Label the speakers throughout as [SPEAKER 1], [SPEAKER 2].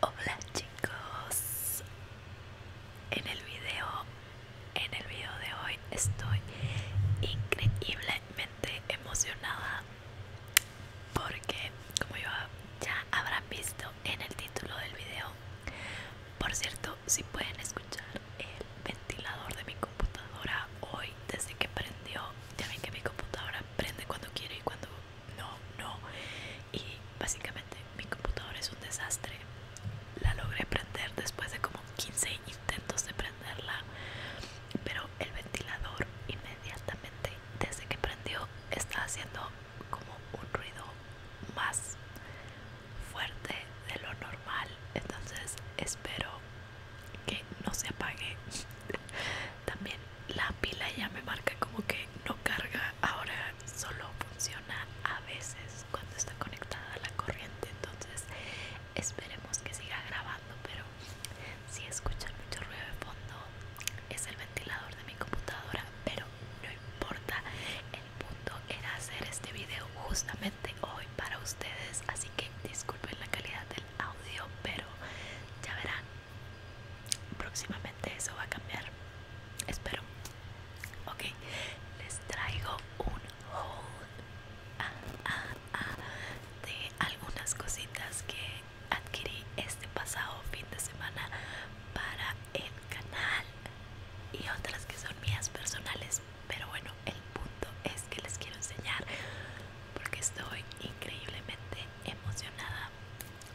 [SPEAKER 1] Hola chicos, en el video, en el video de hoy estoy increíblemente emocionada porque como ya, habrán visto en el título del video, por cierto si pueden escuchar el ventilador de mi computadora hoy desde que prendió, ya ven que mi computadora prende cuando quiere y cuando no, no. Y básicamente mi computador es un desastre. La logré prender después de como 15 intentos de prenderla. Pero el ventilador inmediatamente desde que prendió está haciendo como un ruido más fuerte de lo normal. Entonces espero que no se apague también la pila ya me marca como que no carga ahora solo funciona a veces cuando está conectada a la corriente entonces esperemos que siga grabando pero si escuchan mucho ruido de fondo es el ventilador de mi computadora pero no importa el punto era hacer este video justamente hoy para ustedes así que disculpen la calidad del audio pero ya verán próximamente eso va a cambiar espero ok les traigo un haul ah, ah, ah, de algunas cositas que adquirí este pasado fin de semana para el canal y otras que son mías personales pero bueno el punto es que les quiero enseñar porque estoy increíblemente emocionada.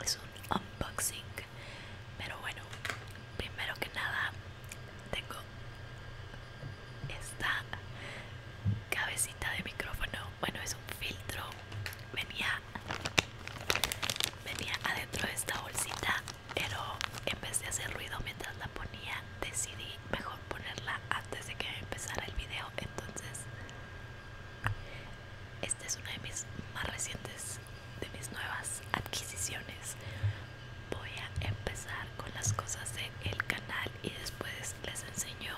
[SPEAKER 1] Es un unboxing. Pero bueno, primero que nada tengo esta cabecita de micrófono. Bueno, es un filtro. Venía venía adentro de esta bolsita, pero en vez de hacer ruido mientras la ponía, decidí mejor ponerla antes de que empezara el video. Entonces esta es una de mis más recientes, de mis nuevas adquisiciones. Voy a empezar con las cosas del canal y después les enseño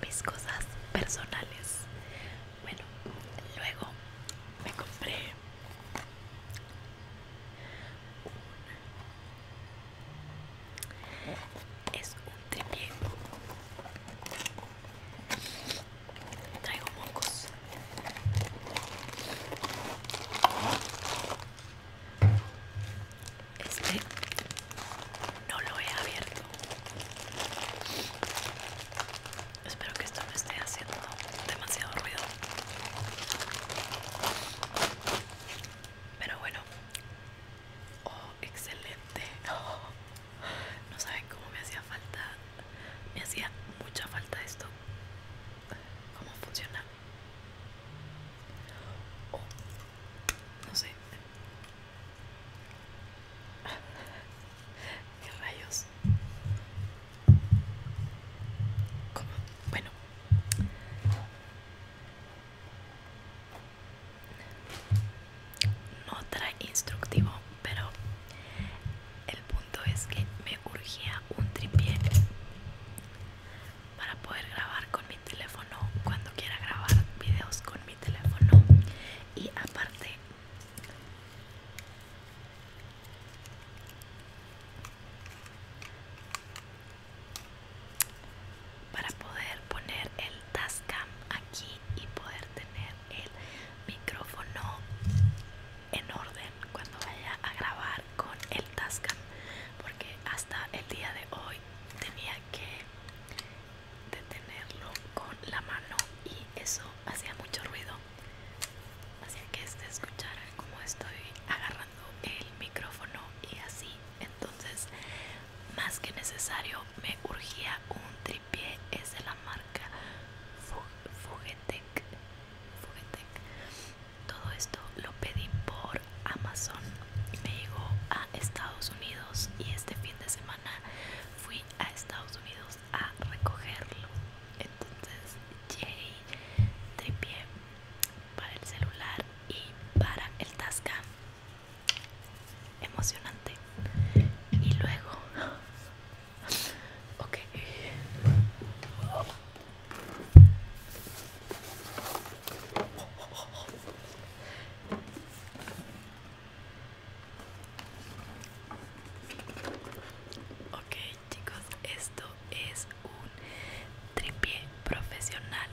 [SPEAKER 1] mis cosas personales. Bueno, luego me compré un es un tripié traigo mocos este no lo he abierto espero que esto no esté haciendo demasiado ruido pero bueno Oh, excelente. Oh, no saben cómo me hacía falta. Me hacía mucha falta esto. ¿Cómo funciona? Oh, no sé. ¿Qué rayos? ¿Cómo? Bueno no trae instructivo pero el punto es que me urgía un tripié para poder grabar con mi teléfono cuando quiera grabar videos con mi teléfono y aparte para poder poner el Tascam aquí y poder tener el micrófono en orden cuando vaya a grabar con el Tascam porque hasta el día de hoy tenía que detenerlo con la mano y eso hacía mucho ruido así que este escuchara cómo estoy agarrando el micrófono y así entonces más que necesario me urgía un tripié es de la marca Fugetec todo esto lo pedí por Amazon me llegó a Estados Unidos y este fin de semana fui a Estados Unidos a recogerlo entonces llegué, tripié para el celular y para el tasca emocionante y luego ok okay chicos esto es un tripié profesional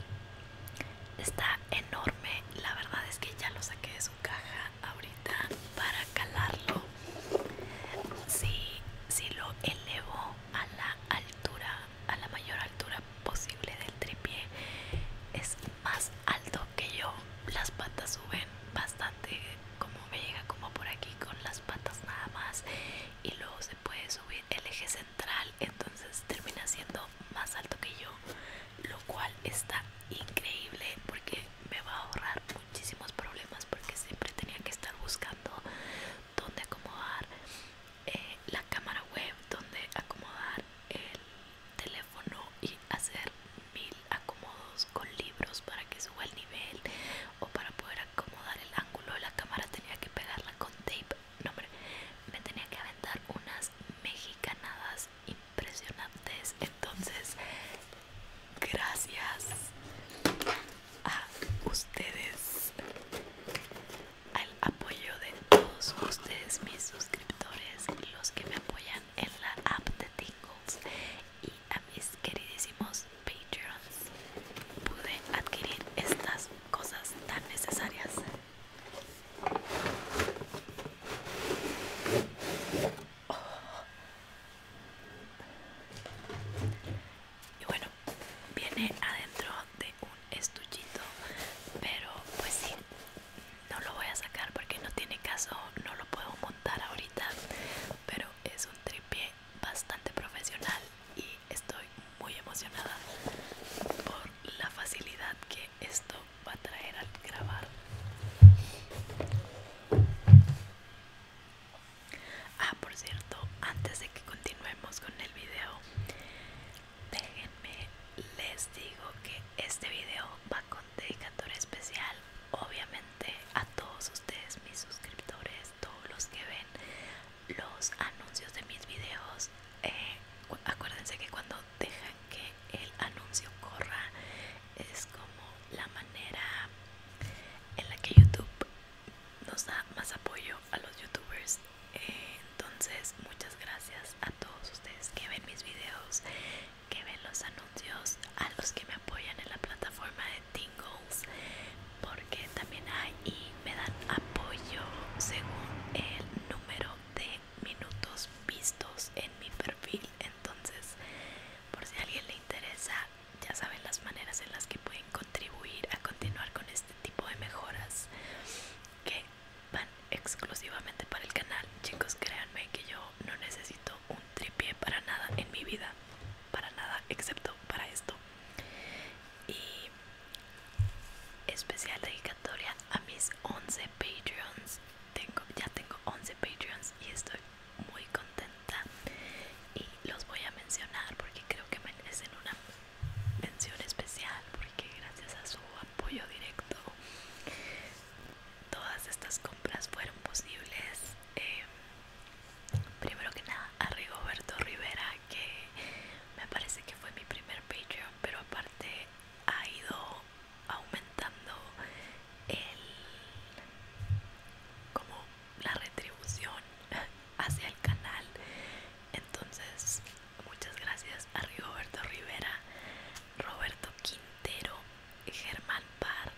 [SPEAKER 1] Está enorme, la verdad es que ya lo saqué de su caja ahorita para calarlo. Si, lo elevo a la altura, a la mayor altura posible del tripie es más alto que yo. Las patas suben bastante, como me llega como por aquí con las patas nada más y luego se puede subir el eje entonces termina siendo más alto que yo lo cual está increíble porque me va a ahorrar muchísimos problemas porque siempre tenía que estar buscando dónde acomodar eh, la cámara web dónde acomodar el teléfono y hacer mil acomodos con libros para que suba el nivel o para poder acomodar el ángulo de la cámara tenía que pegarla con tape me tenía que aventar unas mexicanadas impresionantes entonces gracias a ustedes al apoyo de todos ustedes mis suscriptores los que me apoyan en la app de Tingles y a mis queridísimos Patreons pude adquirir estas cosas tan necesarias y bueno, viene adentro de un estuchito, pero pues sí, no lo voy a sacar porque no tiene caso, no lo puedo montar ahorita, pero es un tripé bastante profesional y estoy muy emocionada por la facilidad que esto va a traer al grabar. Ah, por cierto, antes de que continuemos con el video, déjenme les digo que este video va con dedicatoria especial, obviamente a todos ustedes, mis suscriptores, todos los que ven los anuncios de mis videos eh, acuérdense que cuando dejan que el anuncio corra es como la manera en la que youtube nos da más apoyo a los youtubers entonces muchas gracias a todos ustedes que ven mis videos que ven los anuncios a los que me apoyan en la plataforma de Tingles porque también ahí me dan apoyo según el número de minutos vistos en mi perfil entonces por si a alguien le interesa ya saben las maneras en las que pueden contribuir a continuar con este tipo de mejoras que van exclusivamente para el canal chicos créanme que yo no necesito un tripié para nada en mi vida para nada excepto para esto y especial dedicatoria a mis 11 Patreons. Tengo, ya tengo 11 Patreons y estoy muy contenta. Y los voy a mencionar porque creo que merecen una mención especial. Porque gracias a su apoyo directo, todas estas compras fueron posibles. Eh, primero que nada, a Rigoberto Rivera que me parece que fue mi primer Patreon, pero aparte ha ido aumentando el como la retribución hacia el canal. Entonces, muchas gracias a Roberto Rivera, Roberto Quintero, Germán Parr,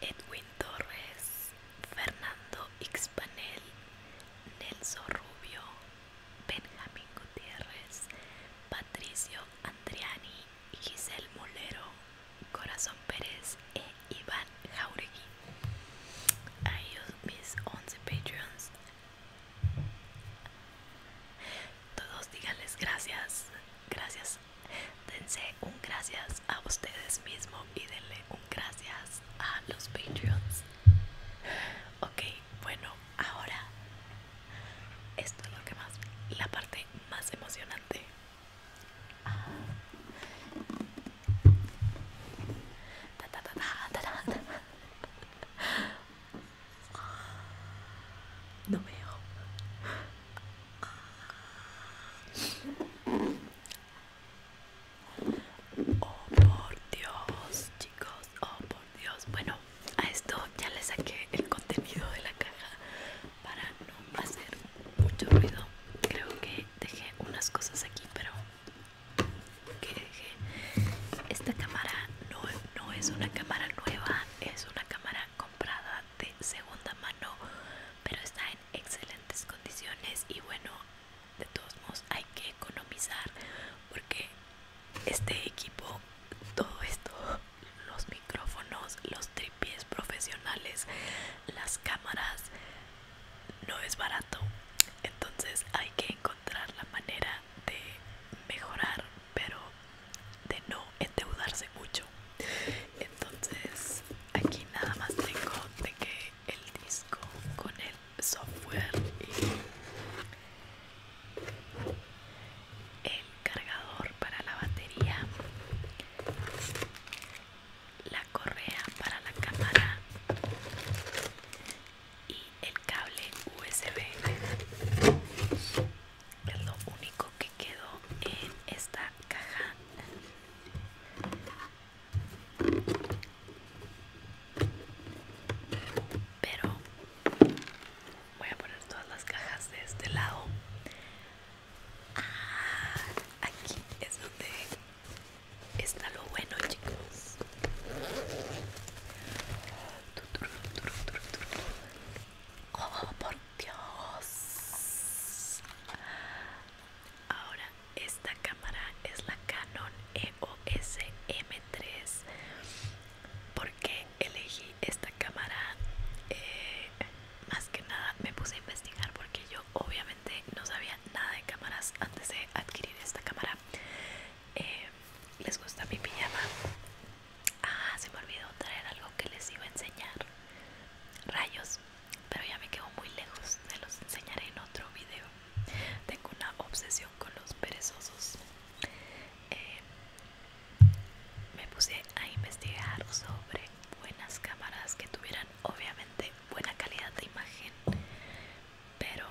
[SPEAKER 1] Edwin Torres, Fernando Xpanel Nelson Rubio, Benjamín Gutiérrez, Patricio Andriani, Giselle Molero, Corazón Pérez e Iván Jauregui. A ellos mis 11 Patreons. Todos díganles gracias, gracias. Dense un gracias a ustedes mismos y denle un gracias a los Patreons. Ok, bueno, ahora esto es lo que más, la parte más emocionante. No veo. Oh por Dios, chicos, oh por Dios. Bueno, a esto ya le saqué el contenido de la caja para no hacer mucho ruido. Creo que dejé unas cosas aquí, pero que dejé. Esta cámara no, no es una cámara nueva, es una cámara comprada de segunda mano, pero está en excelentes condiciones y bueno, de todos modos hay que economizar porque este equipo todo esto los micrófonos los tripies profesionales las cámaras no es barato entonces hay que encontrar la manera de mejorar pero de no endeudarse mucho entonces aquí nada más tengo de que el disco con el software el cargador para la batería la correa para la cámara y el cable USB es lo único que quedó en esta caja pero voy a poner todas las cajas de este lado. Ah, aquí es donde está lo bueno, chicos. Oh, por Dios. Ahora esta cámara es la Canon EOS M3 porque elegí esta cámara eh, más que nada me puse a investigar porque yo obviamente no sabía nada de cámaras antes de adquirir esta cámara eh, les gusta mi pijama ah se me olvidó traer algo que les iba a enseñar rayos pero ya me quedo muy lejos se los enseñaré en otro video tengo una obsesión con los perezosos. Eh, me puse a investigar sobre buenas cámaras que tuvieran obviamente buena calidad de imagen, pero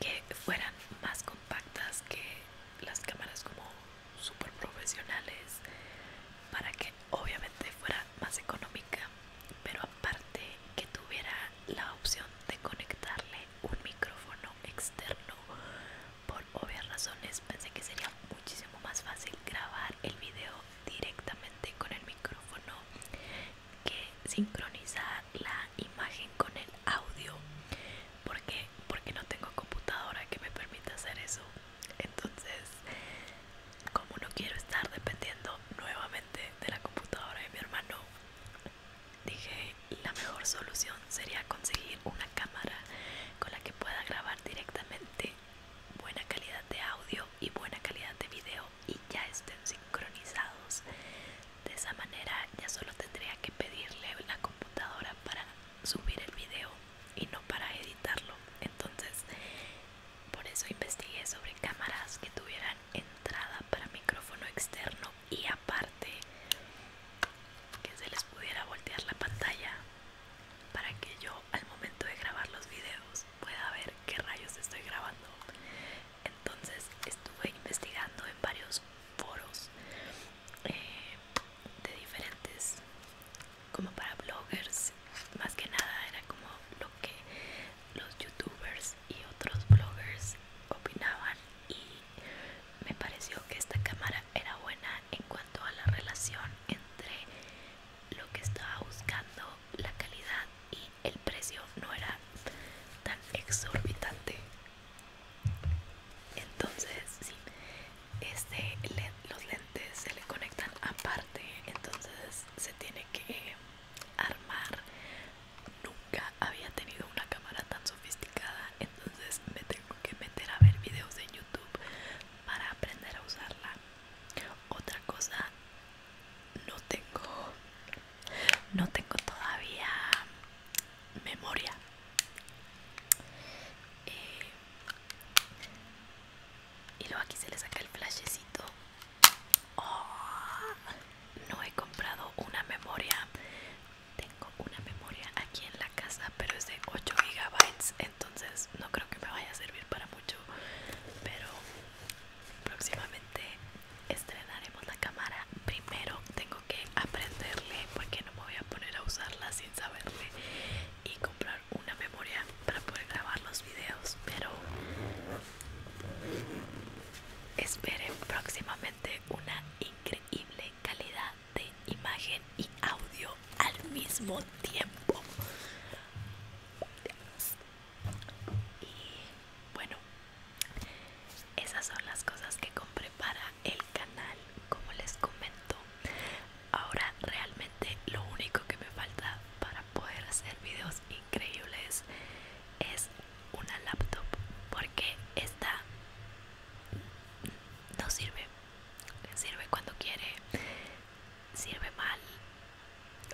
[SPEAKER 1] que fueran más compactas que las cámaras como super profesionales para que obviamente fuera más económica pero aparte que tuviera la opción de conectarle un micrófono externo. Por obvias razones pensé que sería muchísimo más fácil grabar el video directamente con el micrófono que sincronizar la imagen con el audio. porque Porque no tengo computadora que me permita hacer eso. Entonces, como no quiero estar dependiendo nuevamente de la computadora de mi hermano dije la mejor solución sería conseguir una cámara con la que pueda grabar directamente buena calidad de audio y buena calidad de video y ya estén sincronizados de esa manera ya solo tendría que pedirle la computadora para subir el video y no para editarlo entonces por eso investigué sobre cámaras que tuvieran entrada para micrófono externo y aparte que se les pudiera voltear la pantalla para que yo al momento de grabar los videos pueda ver qué rayos estoy grabando. Entonces estuve investigando en varios foros eh, de diferentes, como para bloggers, más que nada era como lo que los youtubers y otros bloggers opinaban y me pareció que esta cámara era buena en cuanto a la relación entre lo que estaba buscando, la calidad y el precio no era tan exorbitante. Entonces, sí, este, los lentes se le conectan aparte, entonces se tiene que armar. Nunca había tenido una cámara tan sofisticada, entonces me tengo que meter a ver videos en YouTube para aprender a usarla. Otra cosa, no tengo, no tengo todavía memoria. Eh, y luego aquí se le saca el flashecito Oh, no he comprado una memoria. Tengo una memoria aquí en la casa, pero es de 8 GB, entonces no creo que me vaya a servir para mucho. Pero próximamente estrenaremos la cámara. Primero tengo que aprenderle porque no me voy a poner a usarla sin saberle y comprar una memoria para poder grabar los videos, pero Esperen próximamente una increíble calidad de imagen y audio al mismo tiempo. Y bueno, esas son las cosas que compré para el canal, como les comento. Ahora realmente lo único que me falta para poder hacer videos increíbles es una laptop porque esta no sirve sirve cuando quiere sirve mal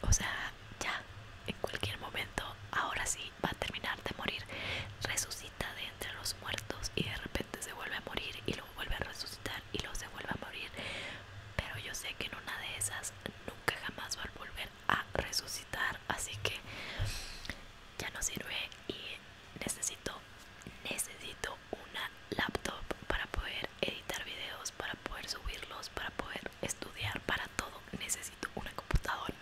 [SPEAKER 1] o sea ya en cualquier momento ahora sí va a terminar de morir resucita de entre los muertos y de repente se vuelve a morir y luego vuelve a resucitar y luego se vuelve a morir pero yo sé que en una de esas nunca jamás va a volver a resucitar, así que ya no sirve y necesito necesito una laptop para poder editar videos, para poder subirlos, para poder estudiar, para todo necesito una computadora.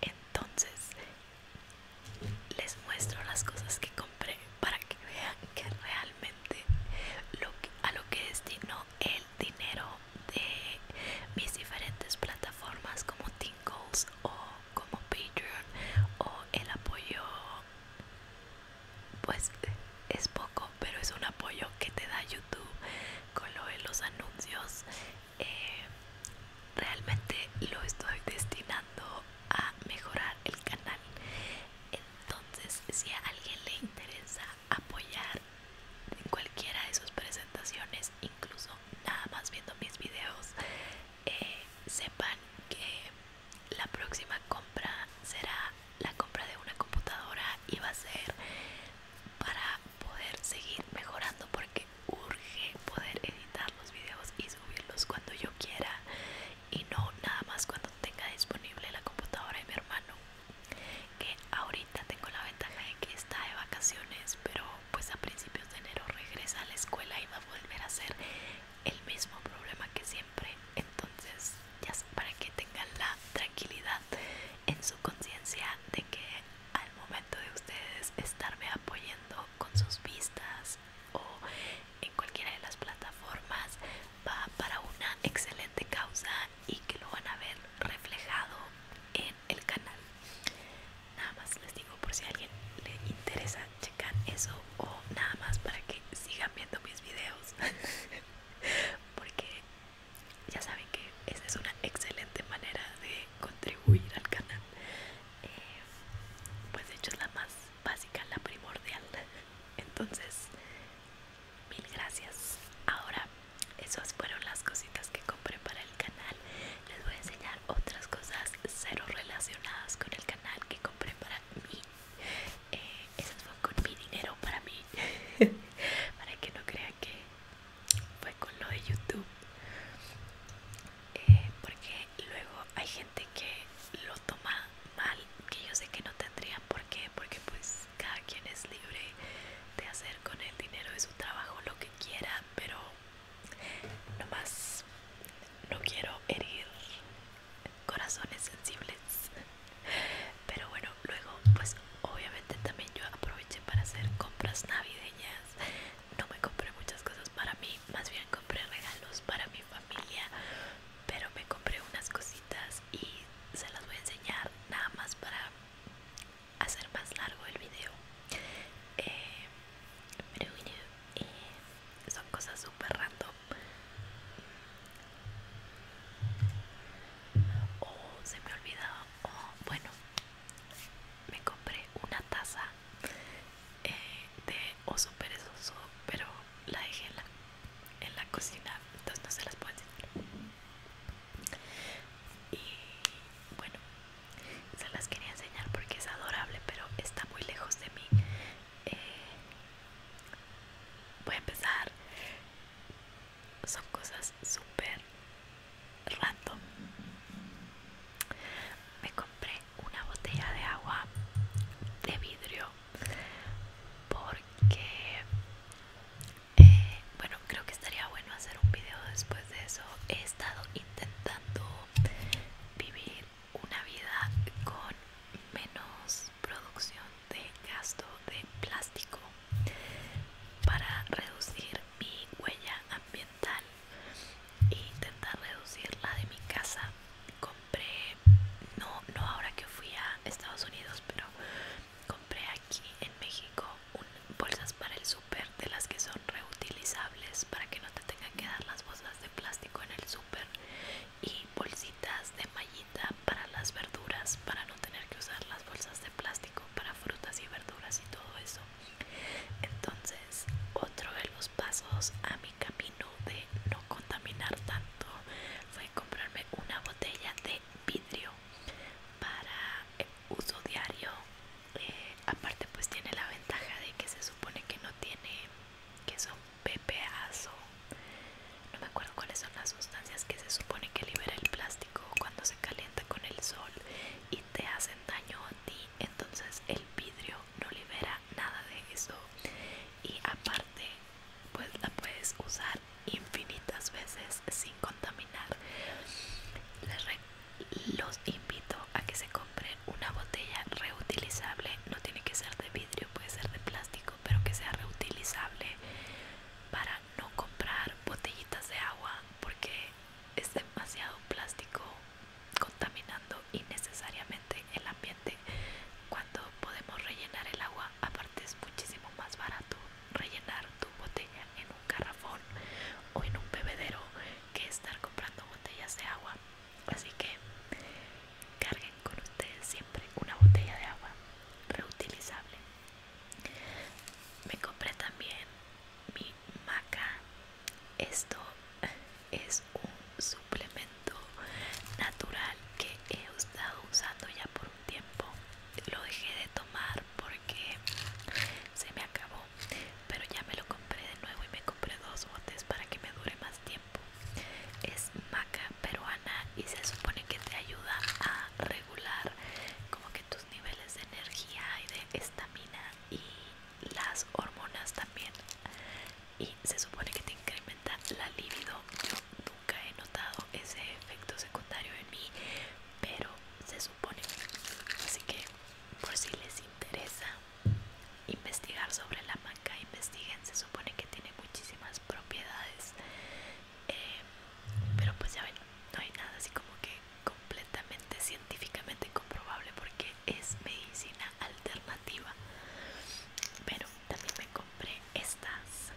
[SPEAKER 1] Entonces les muestro las cosas que compré para que vean que realmente lo a lo que destino él dinero de mis diferentes plataformas como Tinkles o como Patreon o el apoyo pues es poco pero es un apoyo que te da YouTube con lo de los anuncios eh, realmente lo estoy destinando a mejorar el canal entonces si a alguien le interesa apoyar en cualquiera de sus presentaciones, incluso nada más viendo mis videos, eh, sepan que la próxima compra será la compra de una computadora y va a ser para poder seguir mejorando porque urge poder editar los videos y subirlos cuando yo quiera y no nada más cuando tenga disponible la computadora de mi hermano que ahorita tengo la ventaja de que está de vacaciones pero pues a principios de enero regresa a la escuela y va a volver a ser el mismo problema que siempre entonces ya para que tengan la tranquilidad en su conciencia de que al momento de ustedes estarme apoyando con sus vistas o en cualquiera de las plataformas va para una excelente causa y que lo van a ver reflejado en el canal nada más les digo por si a alguien le interesa checar eso o nada más para que sigan viendo mis videos porque ya saben que esa es una excelente manera de contribuir al canal eh, pues de hecho es la más básica la primordial entonces mil gracias ahora esas fueron las cositas que compré para el canal les voy a enseñar otras cosas cero relacionadas con el canal que compré para mí eh, esas fueron con mi dinero para mí para que no crean que fue con lo de youtube eh, porque luego hay gente que lo toma mal que yo sé que no tendría por porque pues cada quien es libre de hacer con el dinero de su trabajo lo que quiera, pero no más no quiero herir corazones sensibles. Pero bueno, luego pues obviamente también yo aproveché para hacer compras navideñas. No me compré muchas cosas para mí, más bien compré regalos para mi familia, pero me compré unas cositas y se las voy a enseñar nada más para hacer más largo el video eh, pero eh, son cosas super random o se me olvidó o bueno me compré una taza eh, de oso perezoso pero la dejé en la, en la cocina entonces no se las puedo enseñar y bueno, se las quería enseñar porque es adorable, pero está muy lejos de mí. Eh, voy a empezar. Son cosas súper random. Me compré una botella de agua de vidrio porque eh, bueno creo que estaría bueno hacer un video después de eso he estado intentando vivir una vida con menos producción de gasto de plástico para reducir mi huella ambiental e intentar reducir la de mi casa compré no no ahora que fui a Estados Unidos pero compré aquí en México bolsas para el súper de las que son reutilizables para que no te tengan que dar las bolsas de plástico en el súper y bolsitas de mallita para las verduras para no tener que usar las bolsas de plástico para frutas y verduras y todo eso entonces otro de los pasos a mi camino de no contaminar tanto fue comprarme una botella de vidrio para eh, uso diario eh, aparte pues tiene la ventaja de que se supone que no tiene que son no me acuerdo cuáles son las sustancias que se supone que libera el plástico cuando se calienta con el sol y te hacen daño a ti entonces el vidrio no libera nada de eso y aparte pues la puedes usar infinitas veces sin contaminar Les los invito a que se compren una botella reutilizable no tiene que ser de vidrio puede ser de plástico pero que sea reutilizable para no comprar botellitas de agua porque es demasiado plástico contaminando innecesariamente el ambiente cuando podemos rellenar el agua a es muchísimo más barato rellenar tu botella en un carrafón o en un bebedero que estar comprando botellas de agua así que carguen con ustedes siempre una botella de agua reutilizable me compré también mi maca esto es un suplemento natural que he estado usando ya por tiempo lo dejé de tomar porque se me acabó pero ya me lo compré de nuevo y me compré dos botes para que me dure más tiempo es maca peruana y se supone que te ayuda a regular como que tus niveles de energía y de estamina y las hormonas también y se supone que te incrementa la libido nunca he notado ese efecto secundario en mí, pero se supone. Así que, por si les interesa investigar sobre la maca, investiguen. Se supone que tiene muchísimas propiedades, eh, pero pues ya ven, no hay nada así como que completamente científicamente comprobable porque es medicina alternativa. Pero también me compré estas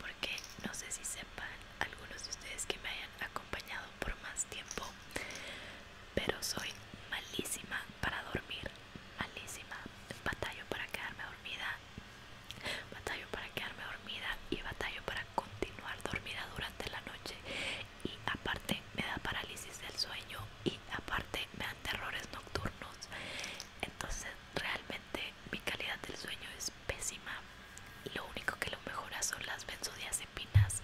[SPEAKER 1] porque no sé si sepan algunos de ustedes que me hayan acompañado por más tiempo, pero soy malísima para dormir, malísima, batallo para quedarme dormida, batallo para quedarme dormida y batallo para continuar dormida durante la noche y aparte me da parálisis del sueño y aparte me dan terrores nocturnos entonces realmente mi calidad del sueño es pésima. Lo único que lo mejora son las benzodiazepinas,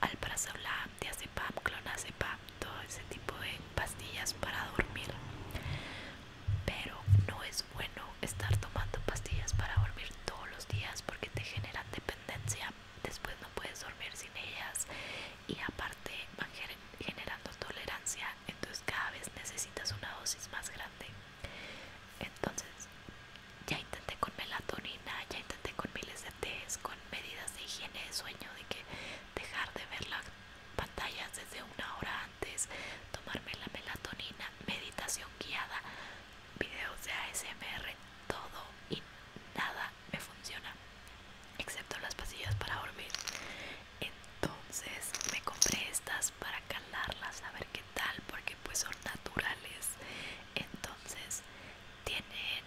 [SPEAKER 1] alprazolam, diazepam, clonazepam, todo ese tipo de pastillas para dormir. Pero no es bueno estar tomando pastillas para dormir todos los días porque te generan dependencia. Después no puedes dormir sin ellas y aparte van generando tolerancia entonces cada vez necesitas una dosis más grande entonces ya intenté con melatonina ya intenté con miles de test con medidas de higiene de sueño de que dejar de ver las pantallas desde una hora antes tomarme la melatonina meditación guiada videos de ASMR todo y nada me funciona excepto las pasillas para dormir entonces me compré estas para calarlas a ver qué tal porque pues son naturales entonces tienen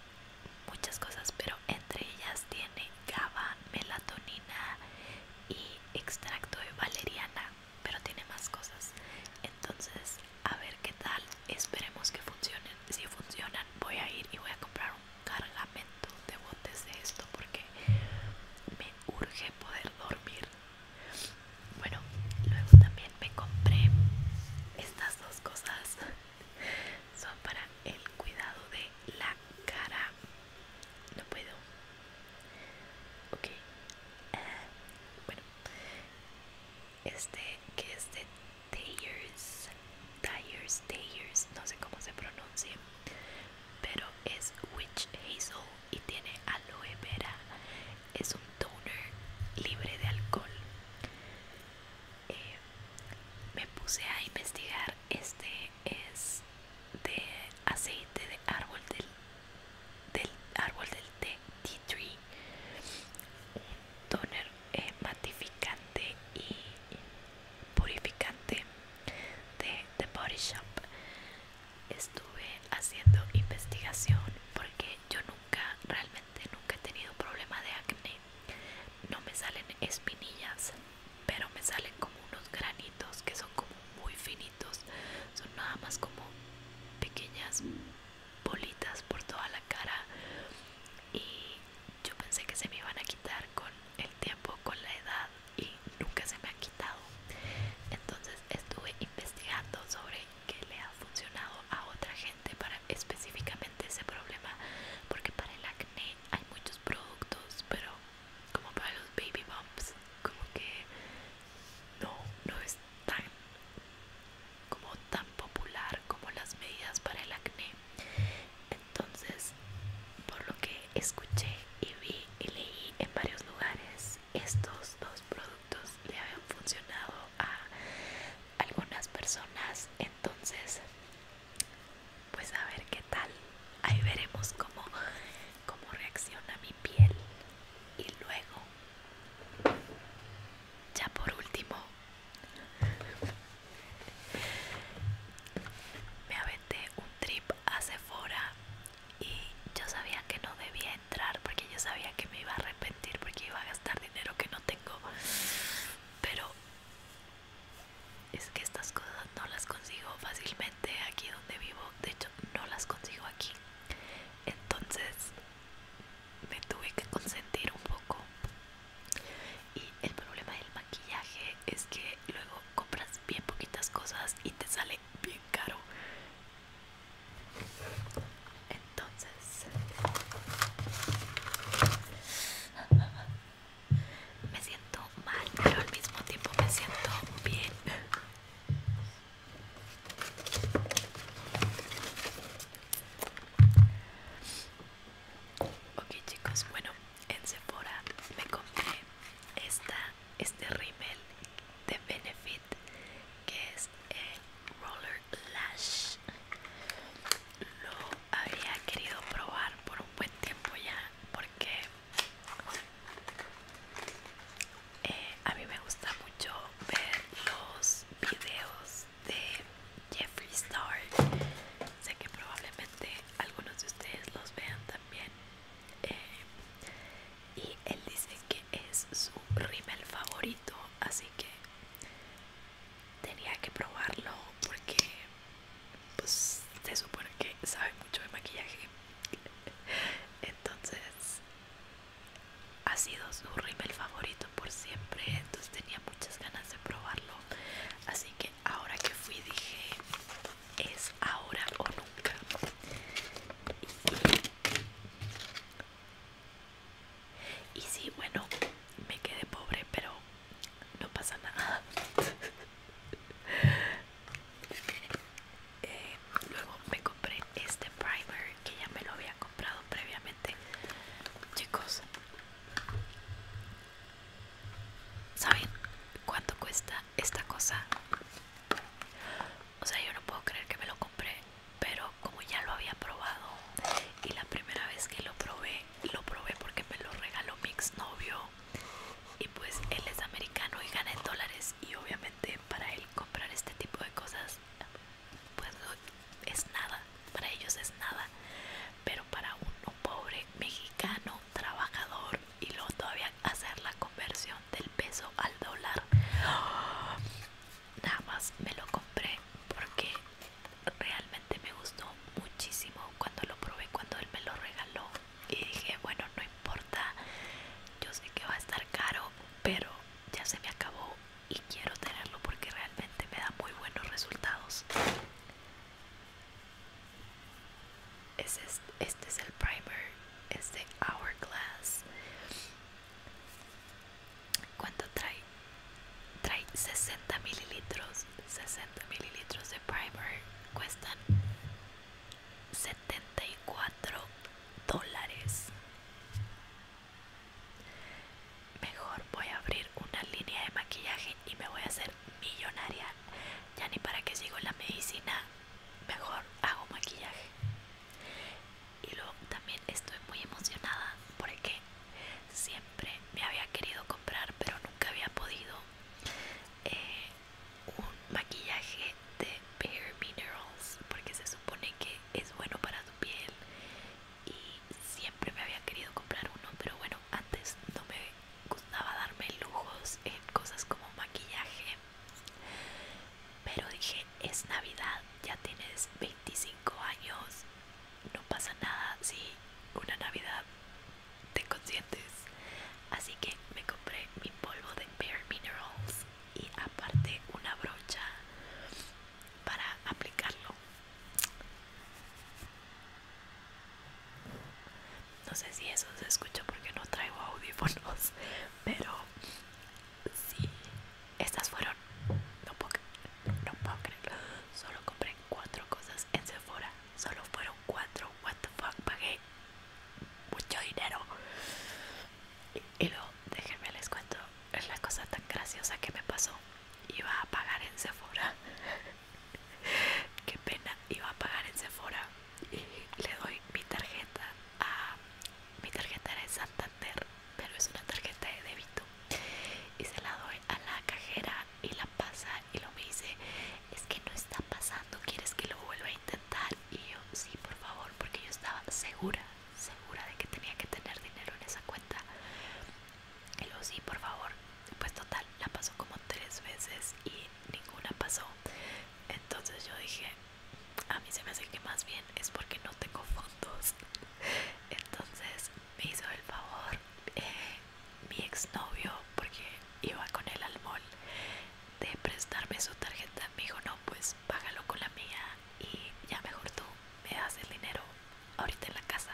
[SPEAKER 1] muchas cosas pero entre ellas tiene GABA, melatonina y extracto de valeriana pero tiene más cosas entonces a ver qué tal esperemos que funcionen si funcionan voy a ir y voy a comprar un cargamento de botes de esto porque urge poder dormir. Bueno, luego también me compré estas dos cosas. Son para el cuidado de la cara. No puedo. Ok. Ah, bueno. Este que es de Tayers. Tayers, Tayers. No sé cómo se pronuncia pero es witch hazel y tiene aloe vera es un toner libre de alcohol eh, me puse a investigar este es de aceite de árbol del, árbol del té tea tree un toner eh, matificante y purificante de The Body Shop estuve haciendo investigación porque yo nunca realmente nunca he tenido problema de acné no me salen espinillas pero me salen como unos granitos que son como muy finitos son nada más como pequeñas bolitas por toda la cara y yo pensé que se me iban a quitar con el tiempo, con la edad y nunca se me ha quitado. Entonces estuve investigando sobre qué le ha funcionado a otra gente para específicamente ese problema, porque para el acné hay muchos productos, pero como para los baby bumps, como que no, no es como tan popular como las medidas para el acné entonces, por lo que escuché y vi y leí en varios lugares, estos dos productos le habían funcionado a algunas personas. Entonces, pues a ver qué tal. Ahí veremos cómo, reacciona mi piel. Y luego, ya por último, me aventé un trip hace fuera y yo sabía que no debía entrar porque yo sabía que me iba a arrepentir porque iba a gastar dinero que no tengo. Pero es que estas cosas no las consigo fácilmente aquí donde vivo. De hecho, no las consigo aquí. Entonces me tuve que consentir un poco. Y el problema del maquillaje es que luego compras bien poquitas cosas y te sale bien caro. Entonces me siento mal, pero al mismo tiempo me siento bien. Ok chicos, bueno, en Sephora me compré esta, este rimel de Benefit que es el eh, Roller Lash. Lo había querido probar por un buen tiempo ya porque eh, a mí me gusta mucho ver los videos de Jeffree Star. Sé que probablemente algunos de ustedes los vean también bien eh, y él dice que es su rímel favorito así que tenía que probarlo porque pues se supone que sabe mucho de maquillaje entonces ha sido su rímel favorito por siempre entonces tenía muchas ganas de probarlo así que ahora que fui dije es ahora o nunca y, sí bueno me quedé pobre pero no pasa nada eh, luego me compré este primer que ya me lo había comprado previamente chicos ¿Saben cuánto cuesta esta cosa? O sea, yo no puedo creer que me lo compré, pero como ya lo había probado y la primera vez que lo probé, lo probé porque me lo regaló mi exnovio y pues él es americano y gana en dólares y obviamente para él comprar este tipo de cosas pues es nada, para ellos es nada, pero para uno pobre mexicano trabajador y luego todavía hacer la conversión del peso al dólar. nada más me lo compré porque realmente me gustó muchísimo cuando lo probé, cuando él me lo regaló. Y dije, bueno, no importa, yo sé que va a estar caro, pero ya se me acabó y quiero tenerlo porque realmente me da muy buenos resultados este, es el primer, este Hourglass. ¿Cuánto trae? Trae 60 mililitros. 60 mililitros de primer cuestan 74 dólares. Mejor voy a abrir una línea de maquillaje y me voy a hacer millonaria. Ya ni para que sigo la medicina, mejor hago maquillaje. Y luego también estoy muy emocionada porque siempre me había querido comprar, pero nunca había podido eh, un maquillaje de Bare Minerals porque se supone que es bueno para tu piel. Y siempre me había querido comprar uno, pero bueno antes no me gustaba darme lujos en cosas como maquillaje, pero dije, es Navidad, ya tienes 25 años, no pasa nada si una Navidad te consientes. Así que me compré mi polvo de Bare Minerals y aparte una brocha para aplicarlo no sé si eso se escucha porque no traigo audífonos pero sí estas fueron no puedo, no puedo creerlo solo compré cuatro cosas en Sephora solo fueron cuatro what the fuck pagué mucho dinero y, y luego déjenme les cuento es la cosa tan graciosa que me pasó iba a pagar en Sephora Qué pena, iba a pagar en Sephora y le doy mi tarjeta a... Mi tarjeta era de Santander, pero es una tarjeta de débito. Y se la doy a la cajera y la pasa y lo me dice, es que no está pasando, ¿quieres que lo vuelva a intentar? Y yo, sí, por favor, porque yo estaba segura, segura de que tenía que tener dinero en esa cuenta. Que lo sí, por favor. Pues total, la pasó como tres veces y ninguna pasó. Entonces yo dije, a mí se me hace que más bien es porque no tengo fondos. Entonces me hizo el favor eh, mi exnovio, porque iba con él al mall, de prestarme su tarjeta. Me dijo, no, pues págalo con la mía y ya mejor tú me das el dinero ahorita en la casa.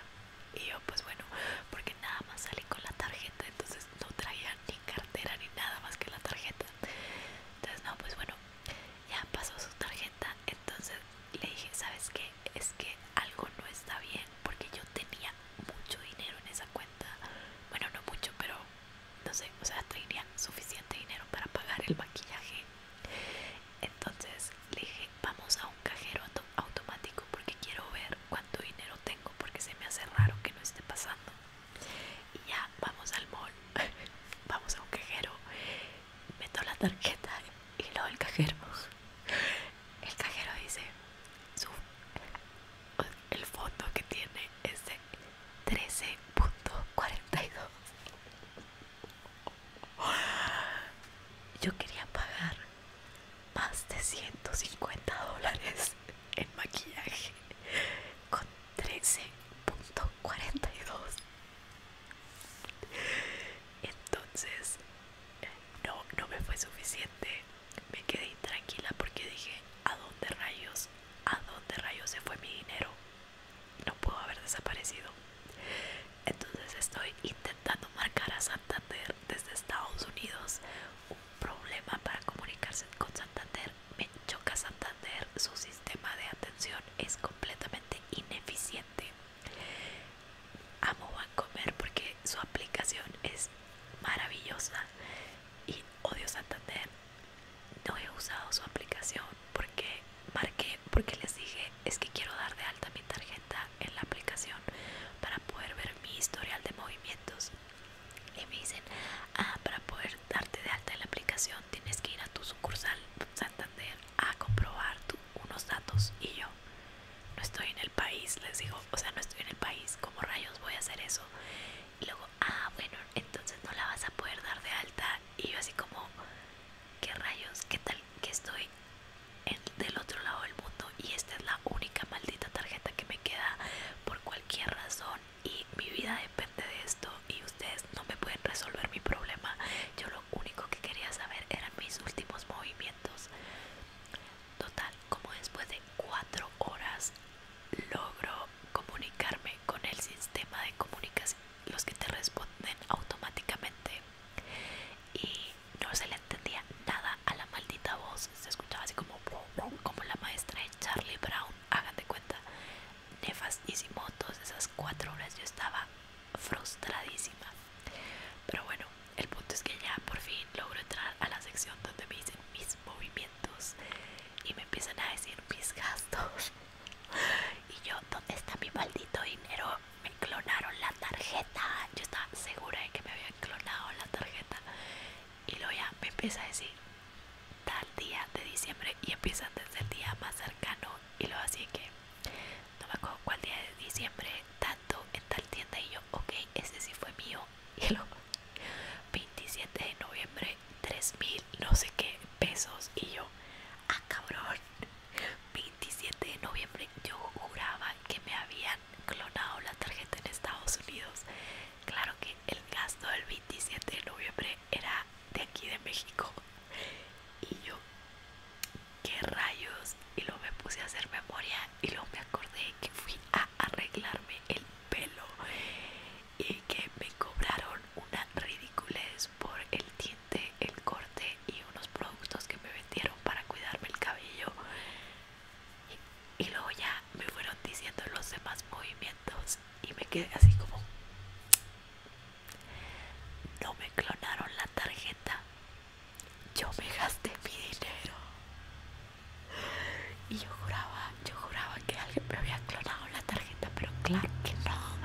[SPEAKER 1] Y yo pues bueno, porque nada más salí con la tarjeta, entonces no traía ni cartera ni nada más que la tarjeta. Entonces no, pues bueno, ya pasó su tarjeta, entonces le dije, ¿sabes qué? Es que algo no está bien porque yo tenía mucho dinero en esa cuenta. Bueno, no mucho, pero no sé, o sea, tenía suficiente dinero para pagar el maquillaje.
[SPEAKER 2] Entonces le dije, vamos a un cajero
[SPEAKER 1] automático
[SPEAKER 2] porque quiero ver cuánto dinero
[SPEAKER 1] tengo porque se me hace raro que no esté pasando y ya vamos al mall vamos a un cajero meto la tarjeta y lo el cajero el cajero dice el fondo que tiene es de 13.42 yo quería pagar más de 150 dólares en maquillaje con 13.42 entonces no no me fue suficiente me quedé intranquila porque dije a dónde rayos a dónde rayos se fue mi dinero no puedo haber desaparecido entonces estoy intentando marcar a desde Estados Unidos. Un problema para comunicarse con Santander. Me choca Santander. Su sistema de atención es completamente ineficiente. Amo comer porque su aplicación es maravillosa y odio Santander. No he usado su aplicación porque marqué, porque les dije es que quiero dar de alta mi tarjeta en la aplicación para poder ver mi historial de movimientos y me dicen ah para poder darte de alta en la aplicación tienes que ir a tu sucursal Santander a comprobar unos datos y yo no estoy en el país les digo o sea no estoy en el país como rayos voy a hacer eso y luego ah bueno entonces no la vas a poder dar de alta y yo así como qué rayos qué tal que estoy del otro lado del mundo y esta es la única maldita tarjeta que me queda por cualquier razón y mi vida depende de esto y ustedes no me pueden resolver mi problema. Yo lo único que quería saber eran mis últimos movimientos. Total, como después de cuatro horas logro comunicarme con el sistema de comunicación, los que te responden automáticamente. Y no se le entendía nada a la maldita voz. Se escuchaba así como, como la maestra de Charlie Brown, hagan de cuenta. Nefastísimo, todas esas cuatro horas yo estaba frustradísima. Pero bueno, el punto es que ya por fin logro entrar a la sección donde me dicen mis movimientos y me empiezan a decir mis gastos. y yo, ¿dónde está mi maldito dinero? me clonaron la tarjeta. Yo estaba segura de que me habían clonado la tarjeta. Y luego ya me empieza a decir tal día de diciembre y empiezan desde el día más cercano. Y lo así que no me acuerdo cuál día de diciembre, tanto en tal tienda. Y yo, ok, ese sí fue mío. Y luego 27 de noviembre, 3000, no sé qué pesos. Y yo, ah, cabrón. 27 de noviembre yo juraba que me habían clonado la tarjeta en Estados Unidos. Claro que el gasto del 27 de noviembre era de aquí de México. Y yo, qué rayos. Y luego me puse a hacer memoria y luego me acordé que fui a arreglarme el pelo y que me cobraron una ridiculez por el diente, el corte y unos productos que me para cuidarme el cabello y, luego ya me fueron diciendo los demás movimientos y me quedé así como no me clonaron la tarjeta yo me gasté mi dinero y yo juraba yo juraba que alguien me había clonado la tarjeta pero claro que no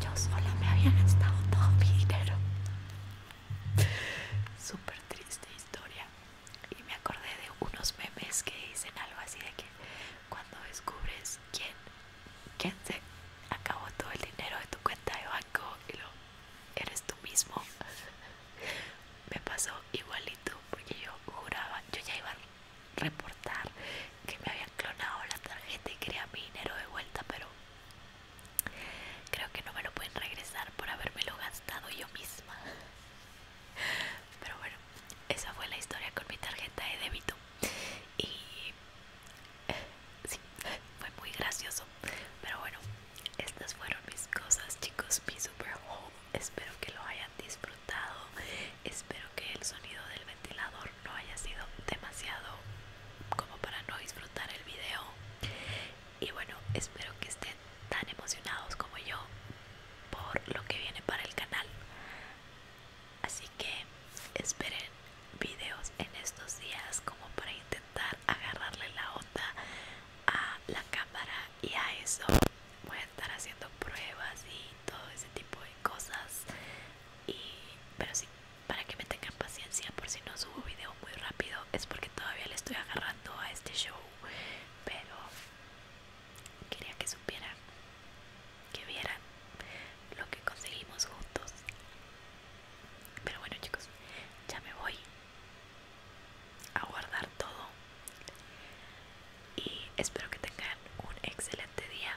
[SPEAKER 1] yo solo me había gastado todo mi dinero triste historia y me acordé de unos memes que dicen algo así de que cuando descubres quién, quién se acabó todo el dinero de tu cuenta de banco y lo eres tú mismo. me pasó igualito porque yo juraba, yo ya iba a reportar que me habían clonado la tarjeta y quería mi dinero de vuelta, pero Creo que no me lo pueden regresar por habérmelo gastado yo misma. Pero bueno, esa fue la historia con mi tarjeta de débito. Y sí, fue muy gracioso. Pero bueno, estas fueron mis cosas, chicos. Mi super haul. Espero que lo hayan disfrutado. Espero que el sonido del ventilador no haya sido demasiado como para no disfrutar el video y bueno, espero que estén tan emocionados como yo por lo que viene para el canal. Así que esperen videos en estos días como para intentar agarrarle la onda a la cámara y a eso. Voy a estar haciendo pruebas y todo ese tipo de cosas. Y, pero sí, para que me tengan paciencia por si no subo video muy rápido es porque todavía le estoy agarrando a este show pero quería que supieran que vieran lo que conseguimos juntos pero bueno chicos ya me voy a guardar todo y espero que tengan un excelente día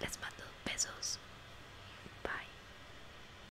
[SPEAKER 1] les mando besos bye